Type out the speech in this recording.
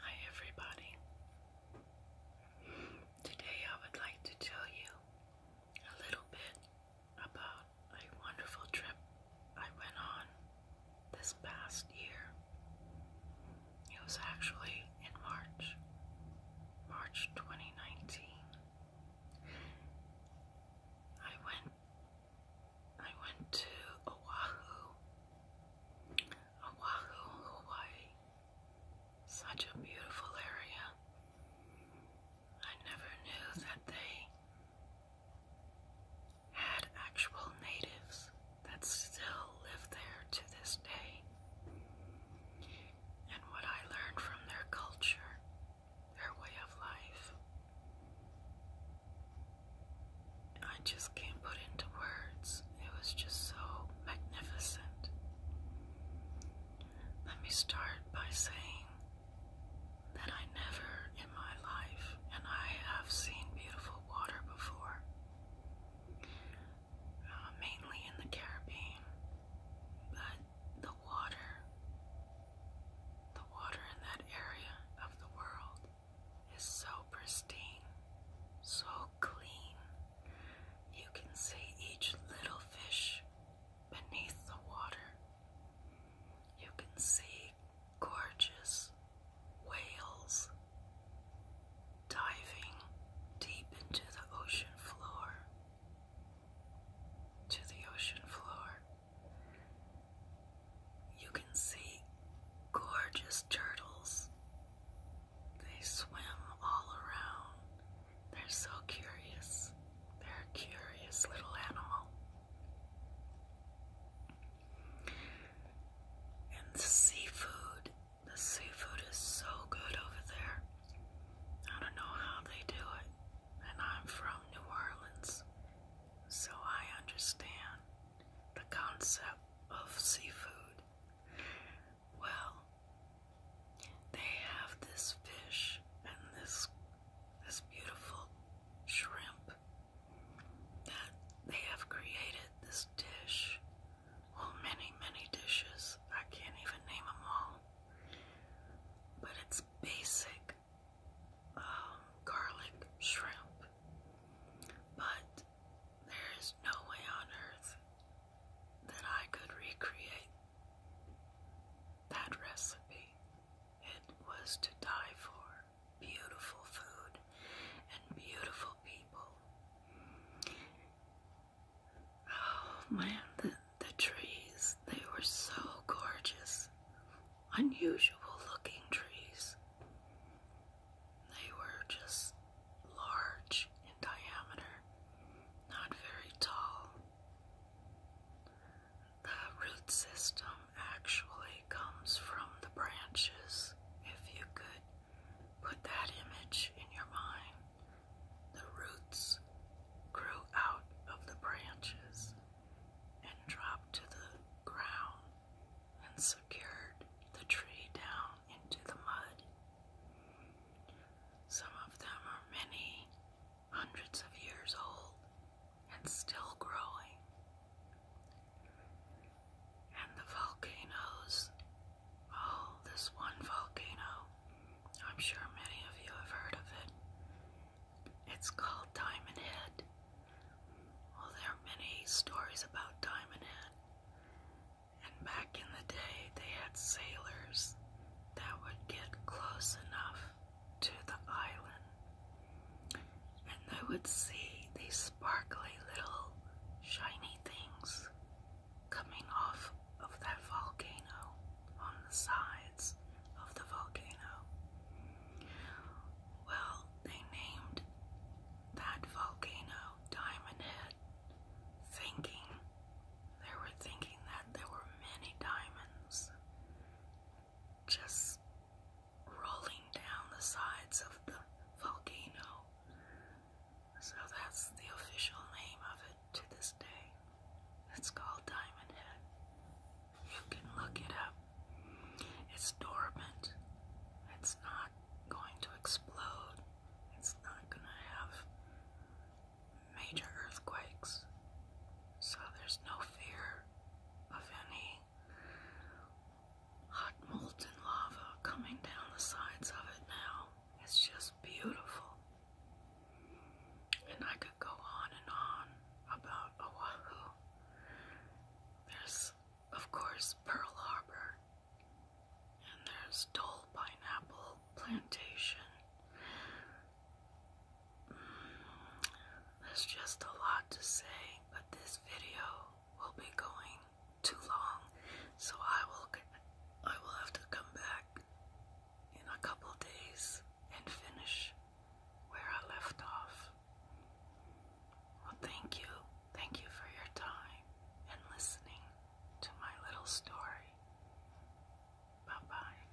Hi everybody. Today I would like to tell you a little bit about a wonderful trip I went on this past year. It was actually in March, March 2019. I went I went to Oahu, Oahu, Hawaii. Such a beautiful area. I never knew that they had actual natives that still live there to this day. And what I learned from their culture, their way of life, I just can't put into words. It was just so magnificent. Let me start by saying that I never in my life, and I have seen beautiful water before, uh, mainly in the Caribbean, but the water the water in that area of the world is so pristine, so clean. You can see each little fish beneath the water. You can see gorgeous whales diving deep into the ocean floor. To the ocean floor. You can see gorgeous turtles. They swim all around. They're so curious. They're curious little animal. And the seafood, the seafood is so good over there. I don't know how they do it and I'm from New Orleans, so I understand the concept of seafood. Well, they have this fish and this this beautiful shrimp that they have created this dish. Well, many, many dishes. I can't even name them all but it's basic um, garlic shrimp. But there is no way on earth that I could recreate that recipe. It was to die for. Beautiful food and beautiful people. Oh man, the, the trees, they were so gorgeous. Unusual looking trees. They were just large in diameter, not very tall. The root system actually comes from the branches. If you could put that image in your mind, the roots grew out of the branches and dropped to the ground and secured the tree down into the mud. Some of them are many hundreds of years old and still growing and the volcanoes. Oh, this one volcano. I'm sure many of you have heard of it. It's called Diamond Head. Well, there are many stories about Diamond Head. And back in the day, they had sailors that would get close enough to the island and they would see these sparkly little shiny things coming off of that volcano on the sides of the volcano. Well, they named that volcano Diamond Head, thinking they were thinking that there were many diamonds just rolling down the sides of the volcano. So that's the official name of it to this day. It's called Diamond Head. You can look it up. It's dormant. It's not going to explode. It's not going to have major earthquakes. So there's no fear of any Hot molten lava coming down the sides of it now. It's just beautiful. And I could go on and on about Oahu. There's, of course, Pearl Harbor, and there's Dole Pineapple Plantation. There's just a lot to say, but this video will be going too long, so I will I will have to come back in a couple days and finish where I left off. Well, thank you. Thank you for your time and listening to my little story. Bye-bye.